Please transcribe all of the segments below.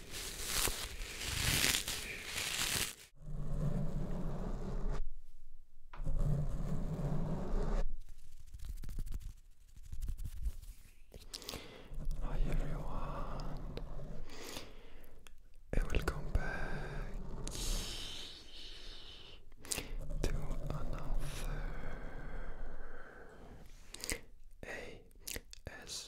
Hi everyone, welcome back to another ASMR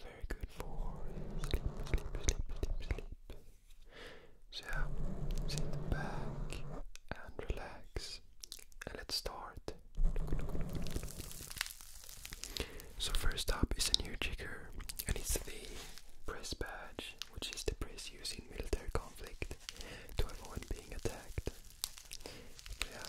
very good for sleep, sleep, sleep, sleep, sleep. So sit back and relax, and let's start. So first up is a new trigger, and it's the press badge, which is the press used in military conflict to avoid being attacked. Yeah,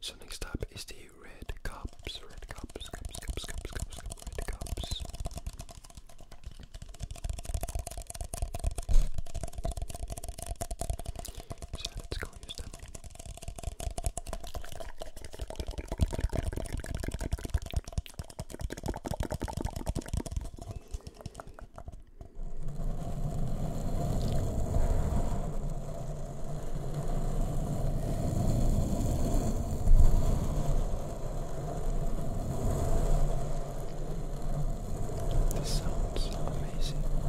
So next up is the red cups, red cups, cups, cups, cups, cups, cups, red cups. So let's go use them. Good. This sounds amazing. Thank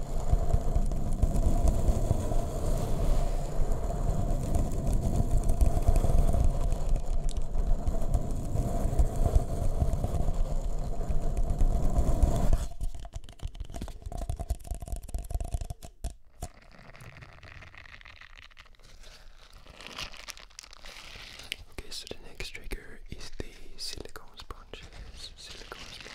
Okay, so the next trigger is the silicone sponges this silicone sponge.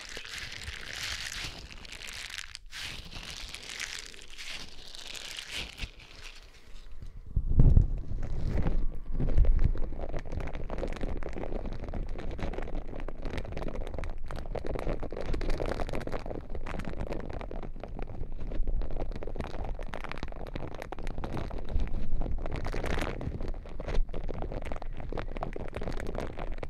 Thank you.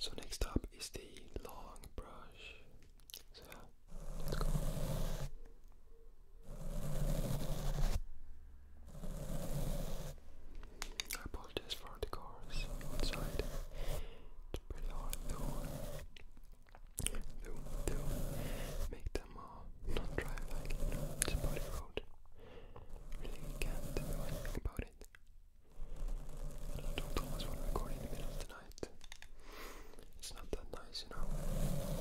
So next up is the long brush. So let's for the cars outside. It's pretty hard though do make them uh, not drive like you it's a body road. Really can't do anything about it. And I don't always want to record in the middle of the night. It's not that nice, you know.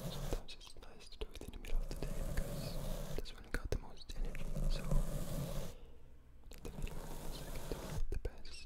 Sometimes it's nice to do it in the middle of the day because that's when I got the most energy. So the middle of the best.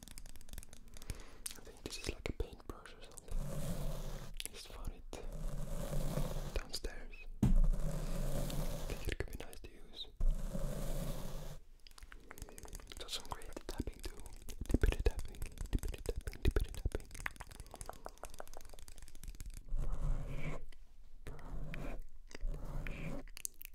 I think this is like a paintbrush or something. Just found it downstairs. think it could be nice to use. Does some great tapping too. Dippity tapping, dippity tapping, tapping. Brush, brush, brush,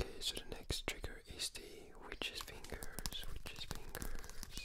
Okay, so the next trigger is the witch's fingers, witch's fingers.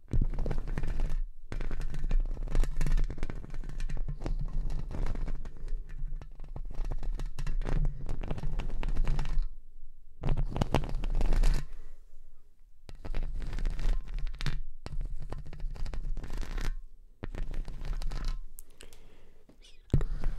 Squat, squat, squat,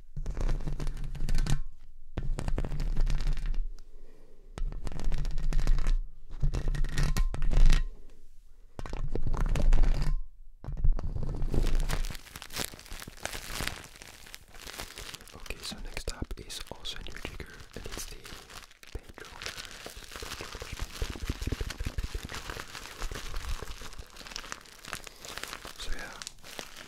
Okay, so next up is also a new trigger, and it's the Pedroller. So yeah,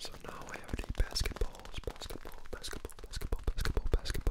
So now I have the basketballs, basketball, basketball, basketball, basketball, basketballs.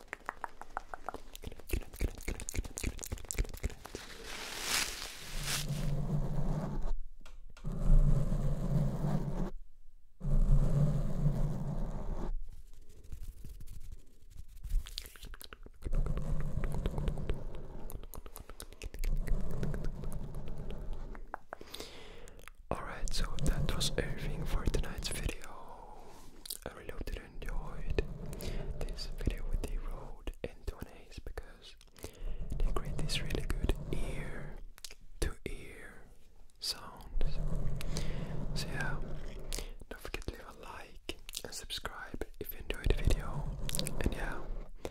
Alright, so that was everything for tonight's video. I really hope that you enjoyed this video with the road N2As because they create this really good ear to ear sound. So yeah, don't forget to leave a like and subscribe if you enjoyed the video. And yeah,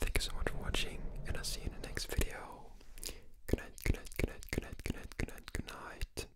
thank you so much for watching and I'll see you in the next video. Good night, good night, good night, good